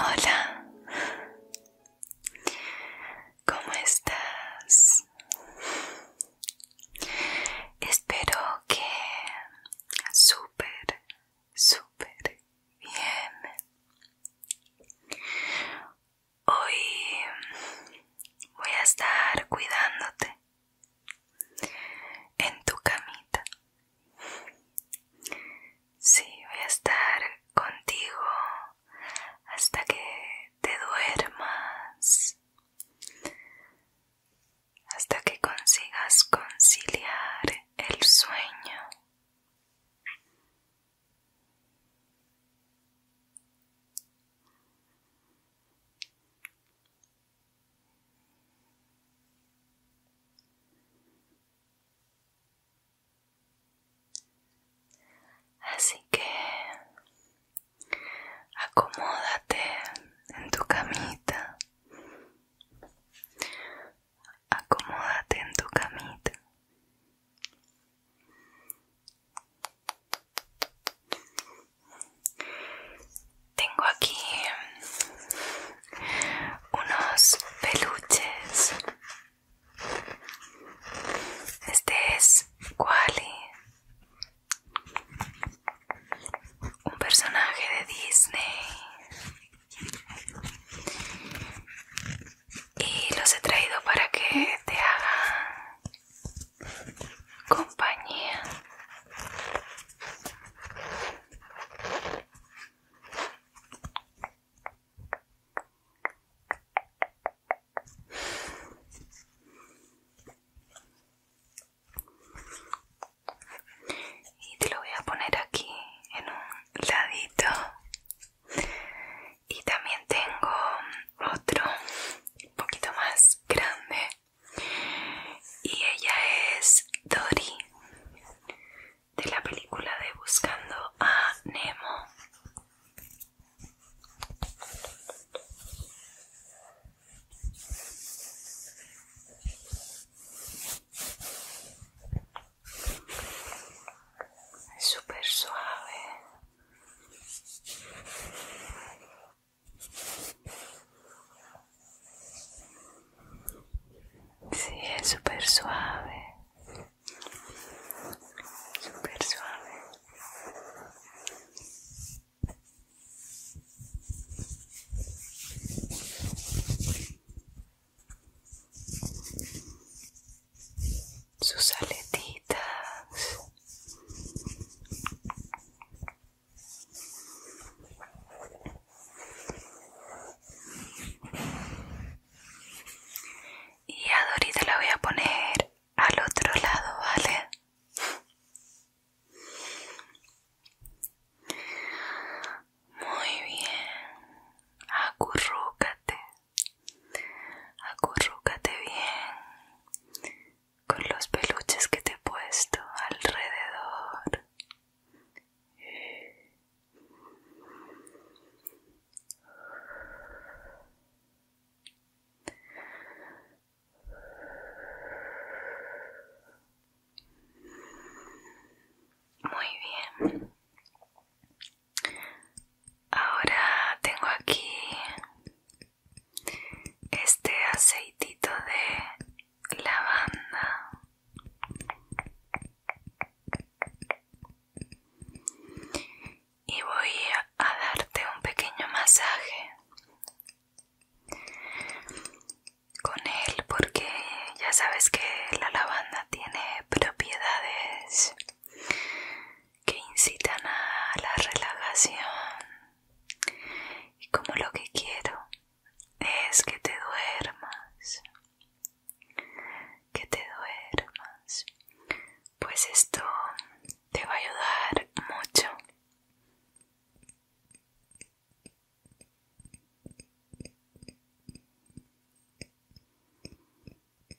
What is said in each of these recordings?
Hola, ¿cómo estás? Espero que súper, súper bien. Hoy voy a estar cuidándote en tu camita. Sí, voy a estar contigo hasta que te duermas, hasta que consigas conciliar el sueño. Así que acomódate en tu camita. Acomódate en tu camita. Tengo aquí unos peluches. Este es Wally, un personaje de Disney y los he traído para que te hagan compañía. Y te lo voy a poner aquí en un ladito y también tengo otro un poquito más grande y ella es Dory de la película de Buscando a Nemo es súper suave Sí, es súper suave. super suave sus aletitas. Y a la voy a poner al otro lado, ¿vale? Muy bien, acurrúcate Acurrúcate bien con los peluches que te he puesto alrededor. Muy bien. Ahora tengo aquí este aceitito de lavanda. Y voy a darte un pequeño masaje con él porque ya sabes que la lavanda tiene propiedades que incitan a la relajación y como lo que quiero es que te duermas que te duermas pues esto te va a ayudar mucho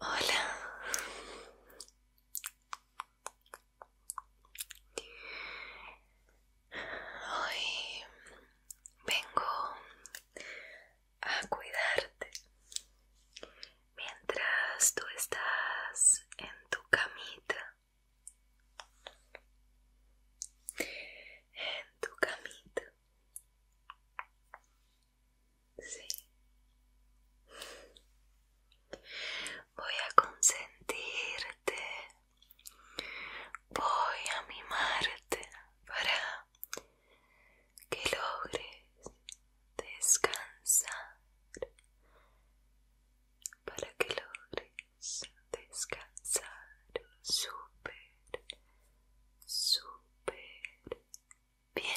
Hola. Hoy vengo a cuidarte mientras tú estás en tu camita en tu camino Sí. Voy a consentirte. Voy a mimarte para que logres descansar. Para que logres descansar super super bien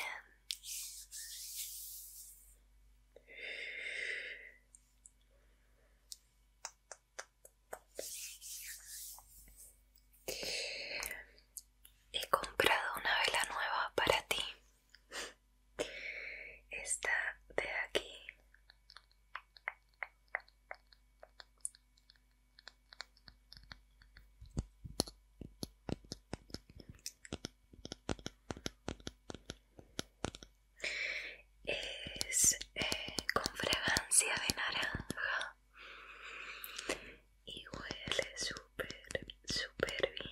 He comprado una vela nueva para ti. Esta de aquí es eh, con fragancia de naranja y huele súper, súper bien.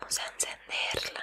Vamos a encenderla.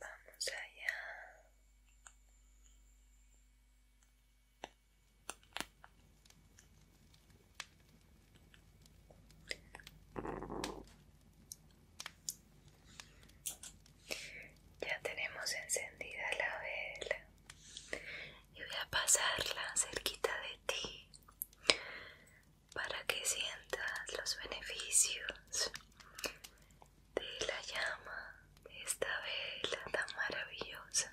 Vamos allá. Ya tenemos encendida la vela y voy a pasarla cerquita de ti para que sientas los beneficios de la llama de esta vela tan maravillosa.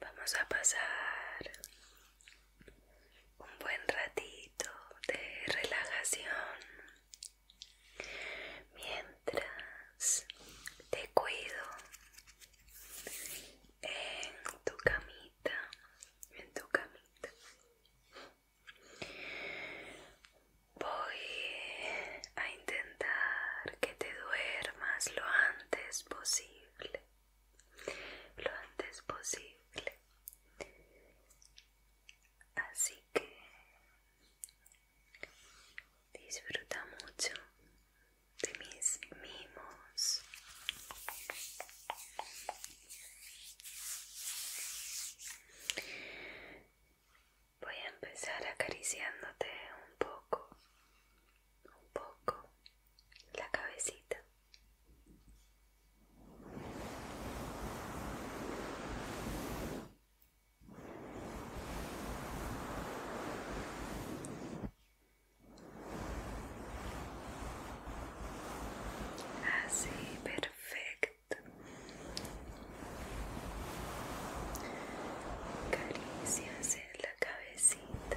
Vamos a pasar un buen ratito de relajación mientras te cuido en tu camita, en tu camita. Voy a intentar que te duermas lo antes posible. Lo antes posible. Así que disfruta mucho de mis mimos. Voy a empezar acariciándote un poco, un poco la cabecita. Así, perfecto. Caricias en la cabecita.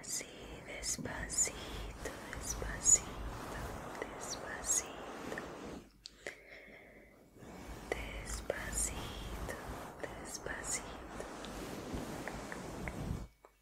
Así, despacito, despacito, despacito, despacito, despacito.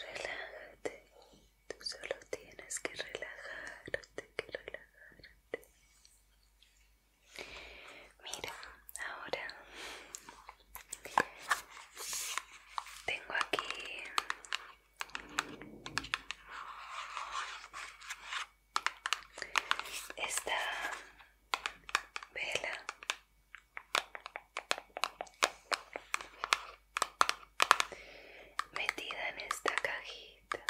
Relájate, tú solo tienes que relajarte, que relajarte. Mira, ahora tengo aquí esta vela metida en esta cajita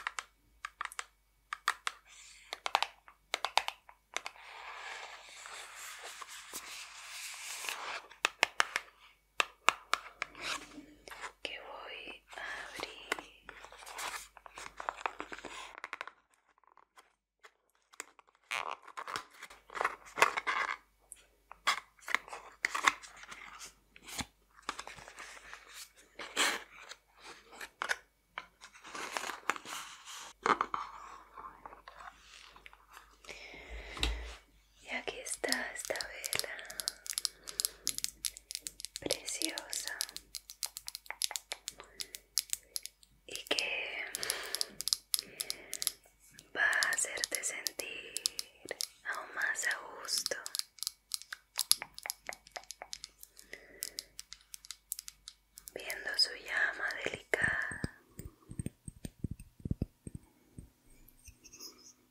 que voy a abrir y aquí está esta vela preciosa y que va a hacerte sentir aún más a gusto. Viendo su llama delicada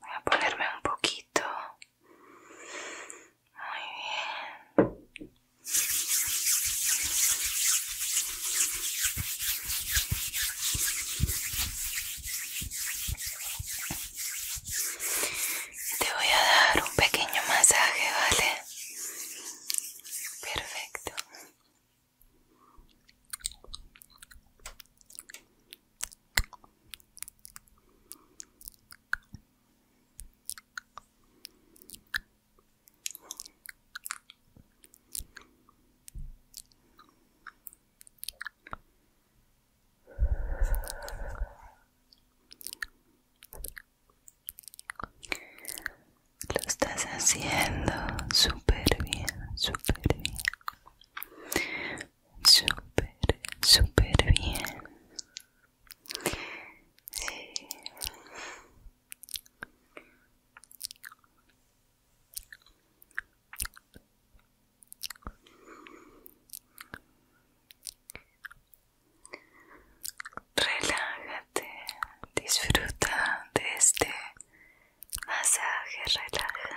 Voy a ponerme un poquito. Muy bien. Te voy a dar un pequeño masaje, ¿vale? Perfecto. Lo estás haciendo súper bien, super bien súper, súper bien. Relájate, disfruta de este masaje relajante.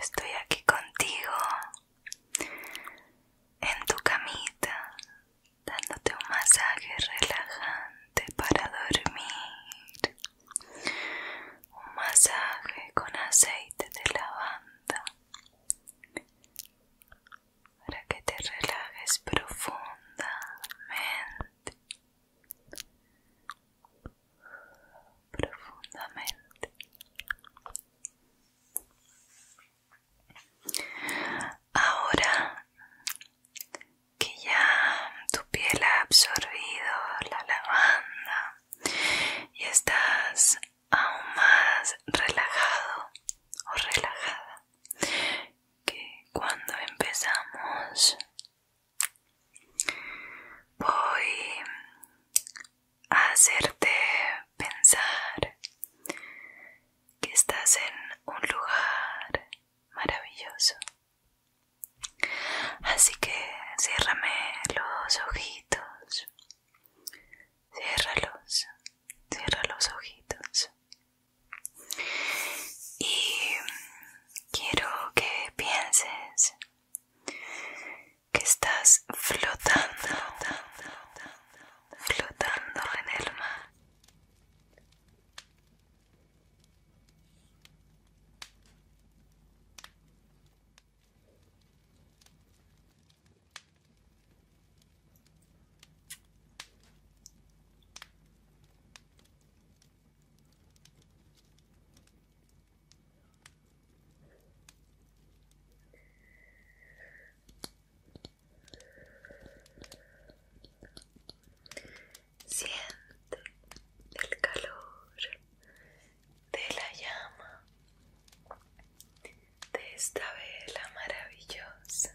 Estoy aquí contigo, en tu camita, dándote un masaje relajante para dormir. Un masaje con aceite de lavanda para que te relajes profundamente profundamente. Ahora que ya tu piel ha absorbido la lavanda y estás aún más relajado o relajada, que cuando empezamos voy a hacerte pensar que estás en un lugar maravilloso. Así que ciérrame los ojitos. Ciérralos. Cierra los ojitos. Y quiero que pienses que estás flotando, flotando en el mar. Siente el calor de la llama de esta vela maravillosa.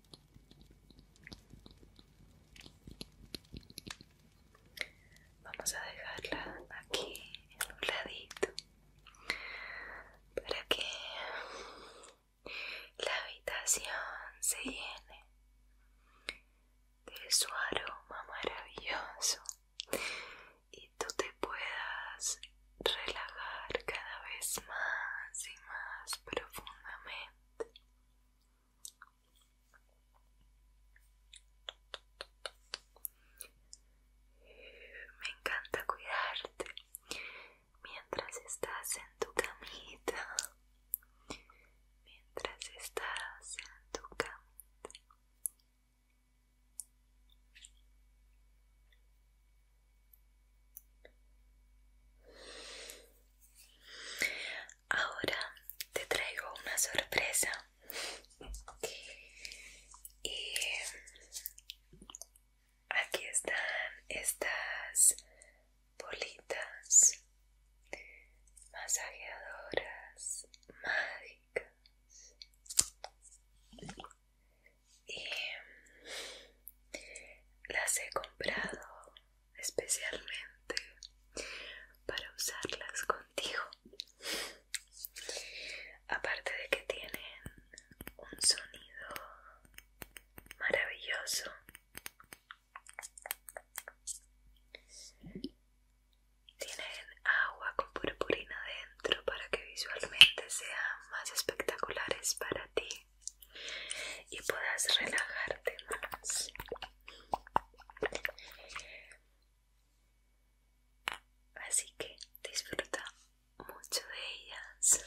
Vamos a dejarla aquí en un ladito para que la habitación se llene de su aroma maravilloso y tú te puedas relajar cada vez más y más profundamente. Me encanta cuidarte mientras estás en tu camita. Mientras estás en tu camita. Ahora te traigo una sorpresa y aquí están estas bolitas masajeadoras mágicas y las he comprado especialmente para usarlas contigo. Aparte de que tienen un sonido maravilloso. Tienen agua con purpurina dentro para que visualmente sean más espectaculares para ti y puedas relajarte más. Así que disfruta mucho de ellas.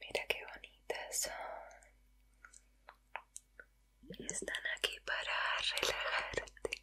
Mira qué bonitas son. Están aquí para relajarte.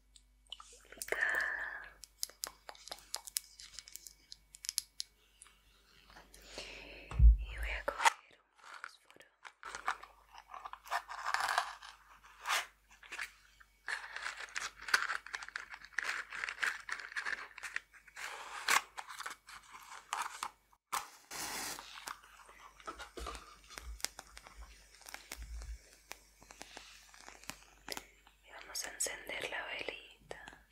y voy a coger un fósforo y vamos a encender la velita.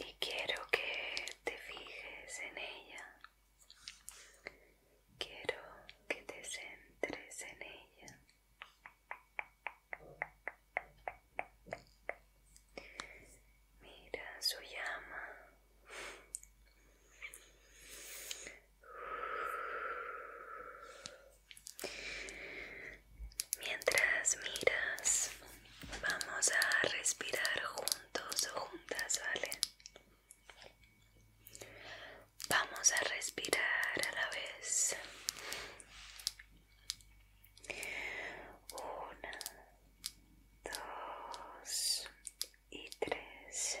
Y quiero que te fijes en ella. Quiero que te centres en ella. Mira su llama. Mientras miras, vamos a respirar juntos o juntas, ¿vale? Vamos a respirar a la vez. Una, dos y tres.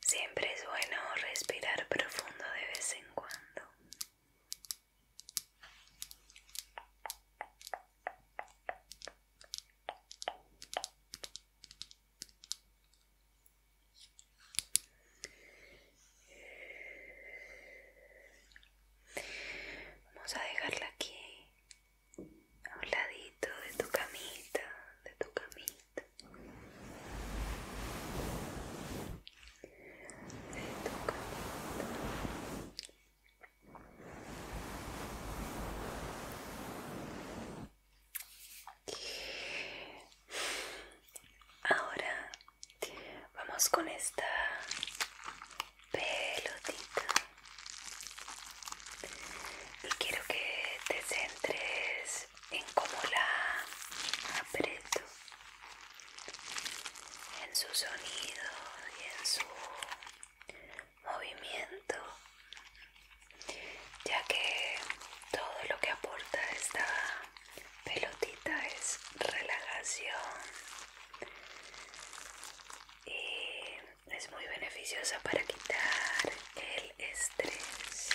Siempre es bueno respirar profundo de vez en cuando. Vamos a dejarla aquí, a un ladito de tu camita, de tu camita. Este. Ahora vamos con esta pelotita y quiero que te centres en cómo la aprieto, en su sonido y en su movimiento, ya que todo lo que aporta esta pelotita es relajación y es muy beneficiosa para quitar el estrés.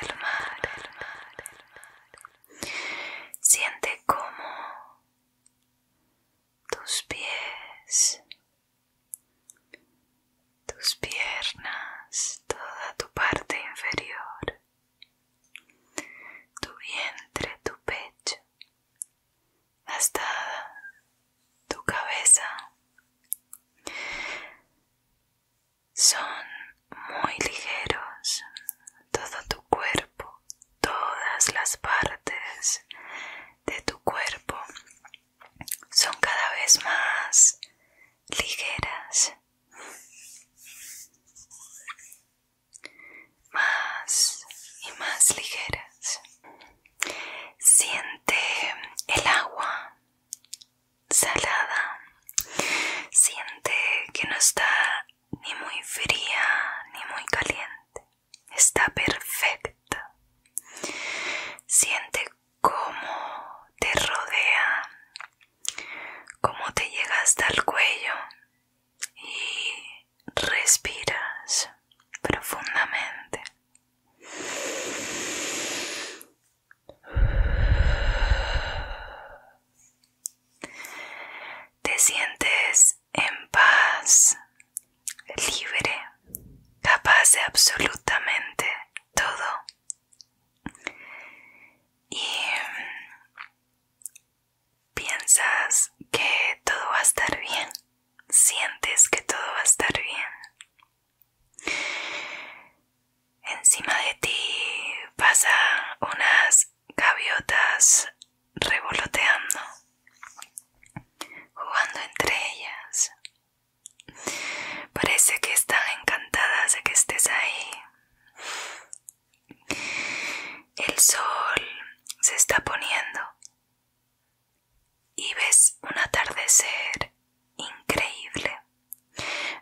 del mar, Siente como tus pies, tus piernas, toda tu parte inferior, tu vientre, tu pecho, hasta tu cabeza. Son muy ligeros, todo tu cuerpo todas las partes de tu cuerpo son cada vez más ligeras, más y más ligeras. Siente el agua salada, siente que no está ni muy fría ni muy caliente está perfecta. Siente cómo te rodea, cómo te llega hasta el cuello y respiras profundamente. Te sientes en paz, libre, capaz de absolutamente todo. Y mm, piensas que todo va a estar bien, sientes que todo va a estar bien. Encima de ti pasan unas gaviotas revoloteando, jugando entre ellas. Parece que están encantadas de que estés ahí. El sol se está poniendo y ves un atardecer increíble.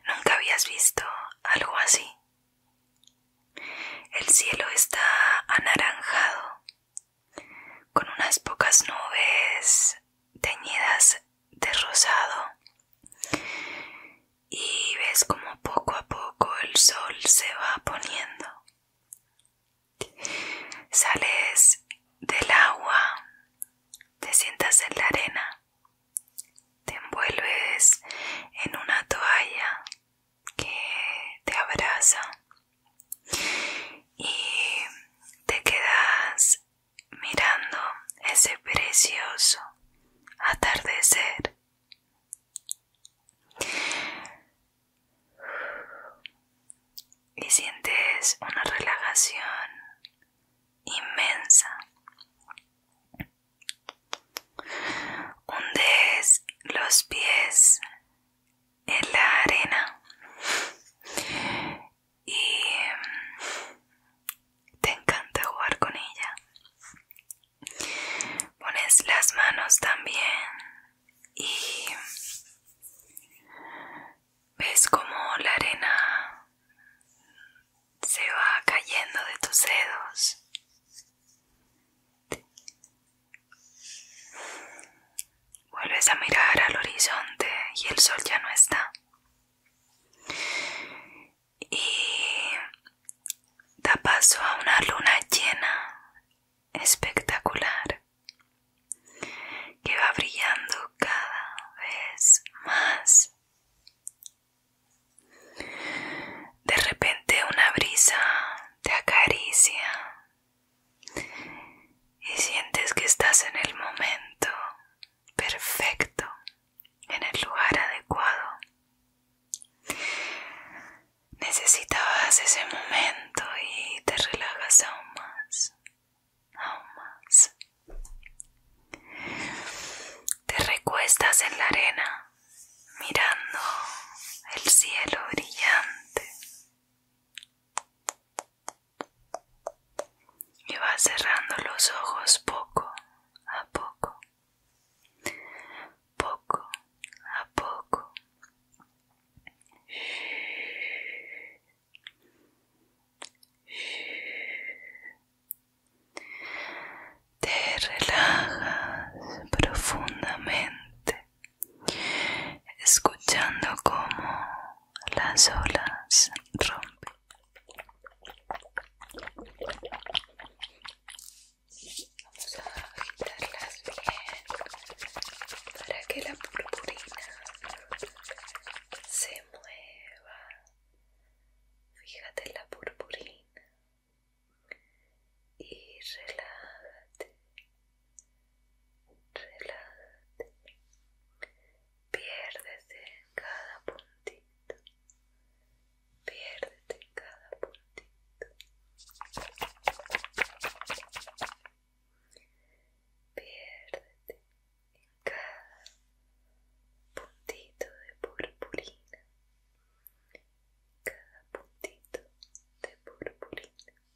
Nunca habías visto algo así. El cielo está anaranjado con unas pocas nubes teñidas de rosado y ves como poco a poco el sol se va poniendo sales del agua te sientas en la arena te envuelves en una toalla que te abraza y te quedas mirando ese precioso atardecer. Y sientes una relajación inmensa. Hundes los pies en la arena y em, te encanta jugar con ella. Pones las manos también y ves como la arena se va cayendo de tus dedos Vuelves a mirar al horizonte y el sol ya no está. Y da paso a una luna llena, espectacular, que va brillando cada vez más. De repente una brisa te acaricia y sientes que estás en el momento perfecto, en el lugar adecuado. Necesitabas ese momento y te relajas aún más, aún más. Te recuestas en la arena mirando el cielo brillante y vas cerrando los ojos poco a poco, poco a poco. Te relajas profundamente escuchando cómo las olas rompen. Vamos a agitarlas bien para que la purpurina se mueva. Fíjate la purpurina y relájate relájate, piérdete en cada puntito, piérdete en cada puntito, piérdete en cada puntito de purpurina, cada puntito de purpurina.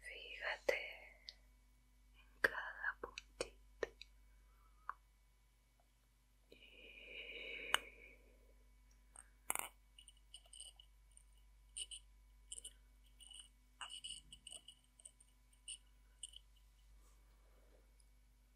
Fíjate en cada puntito.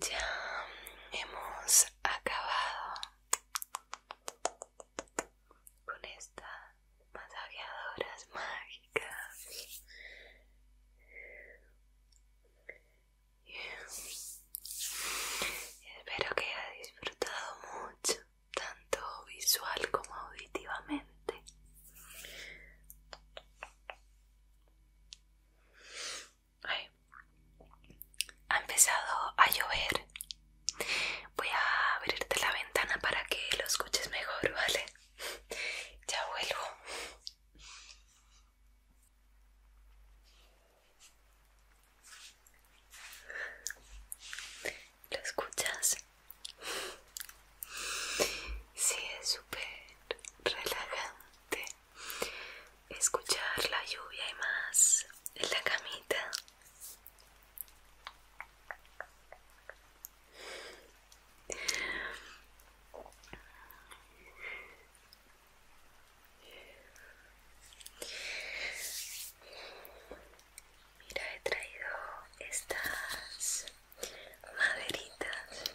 Ya hemos acabado con estas masajeadoras mágicas. Espero que haya disfrutado mucho, tanto visual como auditivamente. Ay. Ha empezado a llover. Voy a abrirte la ventana para que lo escuches mejor, ¿vale? Ya vuelvo. ¿Lo escuchas? Sí, es súper relajante escuchar la lluvia y más en la camita. Mira, he traído estas maderitas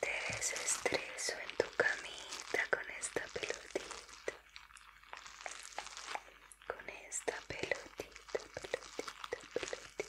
te desestreso en tu camita con esta pelotita. Con esta pelotita, pelotita, pelotita.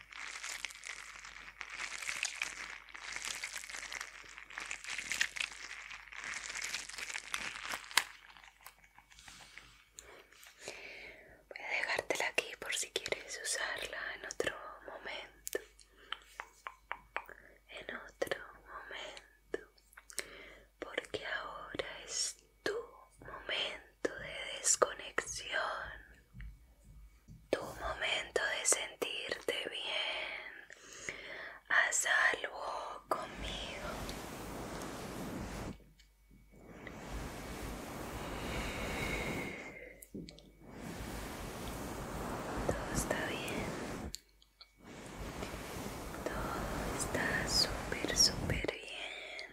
Voy a dejártela aquí por si quieres usarla en otro momento. En otro momento. Porque ahora es tu momento de desconexión, tu momento de sentirte bien, a salvo conmigo. Todo está bien. Todo está súper, súper bien.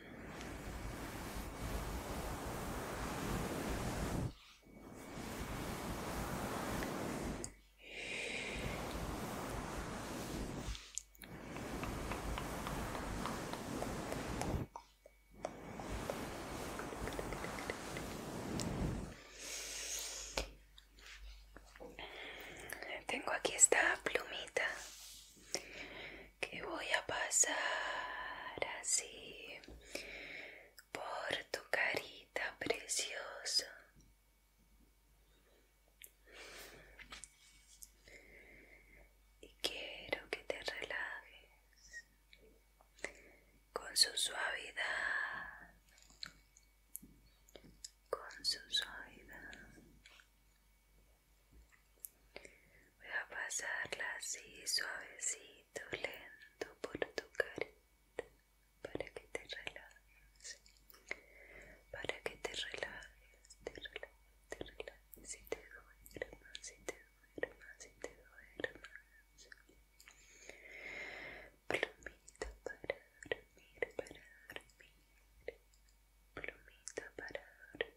Tengo aquí esta plumita que voy a pasar así por tu carita preciosa. Y quiero que te relajes con su suavidad, con su suavidad. Voy a pasarla así suavecito, lento por tu carita para que te relajes, para que te relajes, te relajes, te relajes si te duermas, si te duermas, si te duermas. Plumita para dormir, para dormir. Plumito para dormir.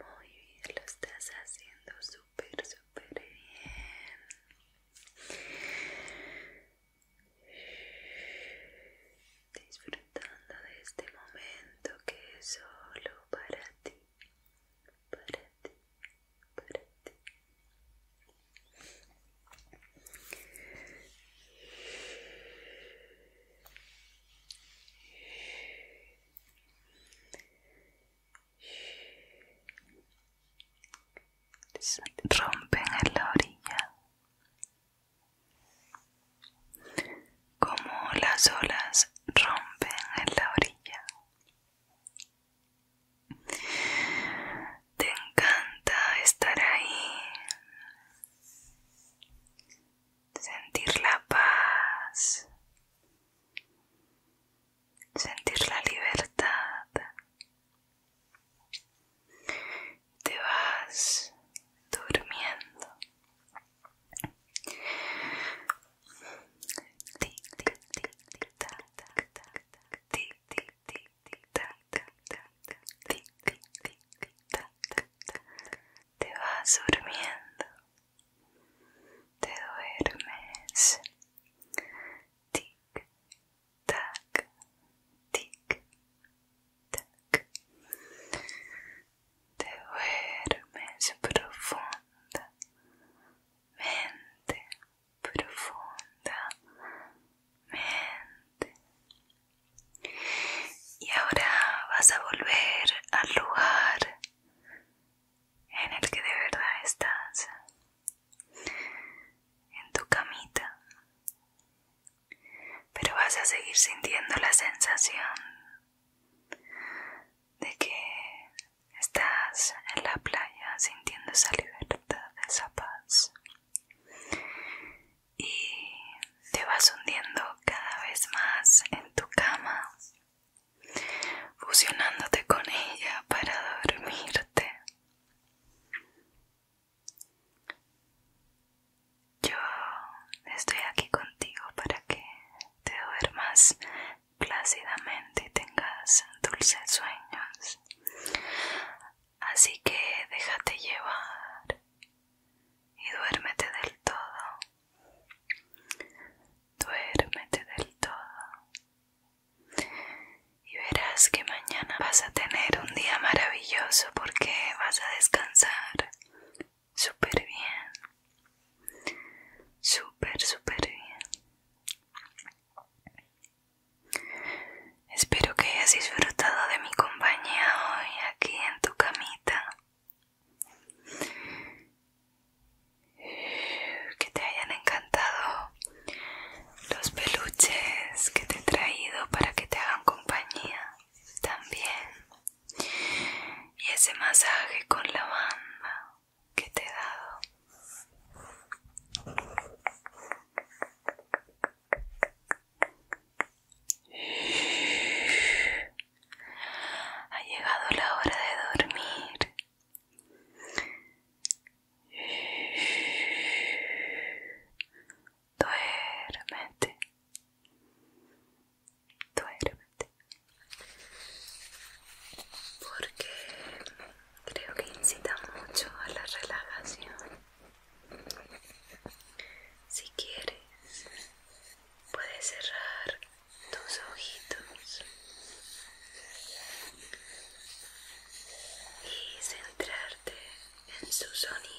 Muy bien, lo estás haciendo súper, súper bien. Disfrutando de este momento que es solo para ti, para ti, para ti rompen en la orilla como las olas rompen en la orilla te encanta estar ahí sentir la paz, sentir la libertad. Te vas durmiendo tic tic tac tac tac tac Te vas durmiendo, te duermes. Tic, tac, tic, tac. Te duermes profunda, mente profunda, mente y ahora vas a volver al lugar en el que de verdad estás, en tu camita. Pero vas a seguir sintiendo la sensación de que estás en la playa sintiendo esa libertad, esa paz y te vas hundiendo cada vez más en tu cama, fusionándote con ella para dormirte. Yo estoy aquí contigo para que te duermas plácidamente y tengas dulces sueños. Así que déjate llevar y duérmete del todo. Duérmete del todo. Y verás que mañana vas a tener un día maravilloso porque vas a descansar súper bien. Súper, súper bien. Espero que hayas disfrutado de mi compañía hoy aquí en tu camita. Que te hayan encantado los peluches que te he traído para que te hagan compañía también. Y ese masaje con la banda que te he dado. Ha llegado la hora de dormir. Duérmete. Duérmete. Porque creo que incita mucho a la relajación. Si quieres, puedes cerrar tus ojitos y centrarte en su sonido.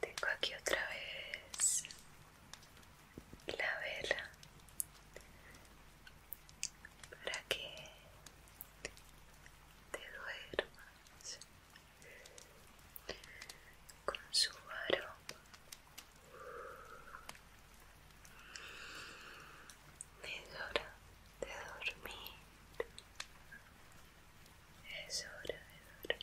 Tengo aquí otra vez la vela para que te duermas con su aroma es hora de dormir. Es hora de dormir.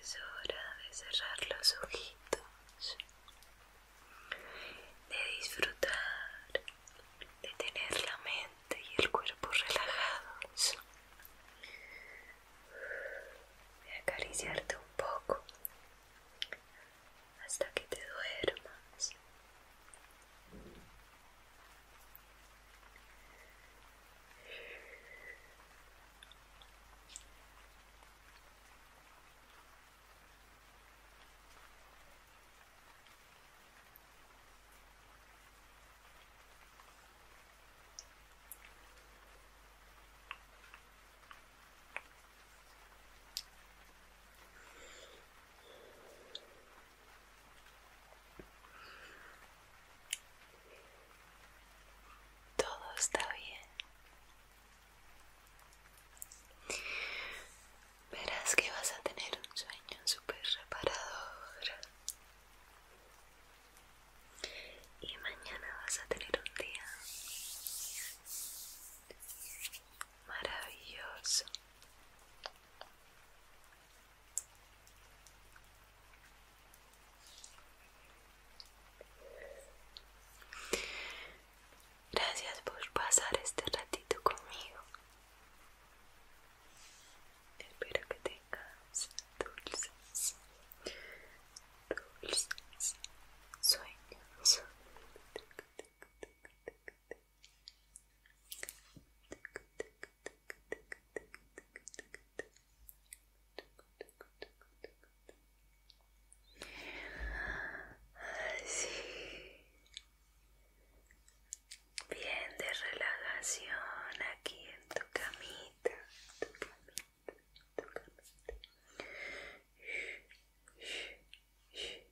Es hora de cerrar los ojitos de disfrutar, de tener la mente y el cuerpo relajados, de acariciarte un poco hasta que te duermas. Todo está bien. Verás que vas a tener un sueño súper reparador. Y mañana vas a tener un día maravilloso. Gracias por pasar este ratito conmigo. Espero que tengas dulces, dulces sueños. Así. Bien de relajación aquí en tu camita, tu camita, tu camita. Bien.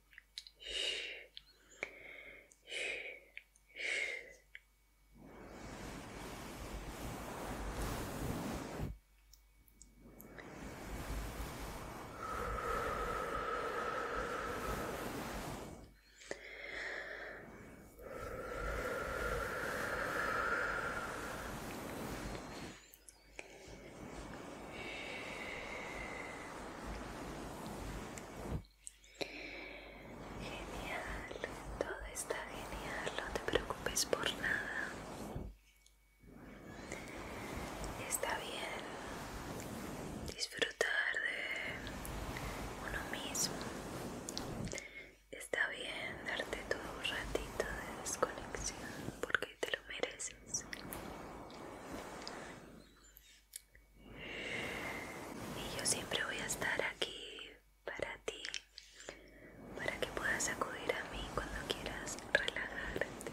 Genial, todo está genial, no te preocupes por nada. Está bien disfrutar de uno mismo. Está bien darte todo un ratito de desconexión porque te lo mereces. Y yo siempre voy a estar aquí para ti, para que puedas acudir a mí cuando quieras relajarte.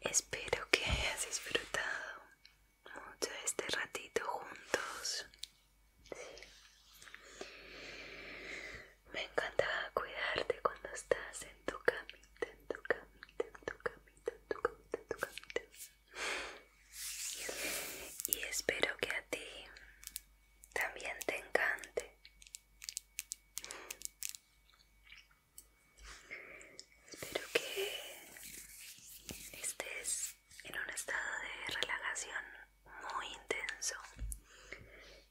Espero que hayas disfrutado mucho este ratito juntos. Me encantaba cuidarte cuando estás en tu camita, en tu camita, en tu camita, en tu camita, en tu camita. Y espero que a ti también te encante. Espero que estés en un estado de relajación muy intenso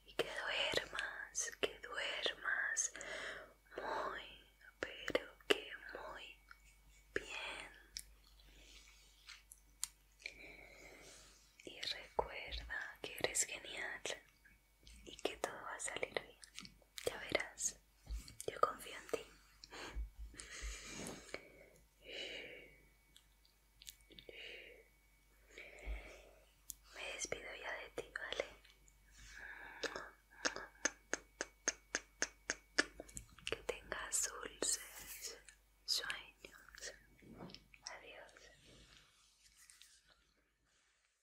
y que duermas, que duermas muy, pero que muy bien. Y recuerda que eres genial y que todo va a salir bien. Ya verás, yo confío en ti. Me despido ya de ti, ¿vale? Que tengas dulces sueños. Adiós.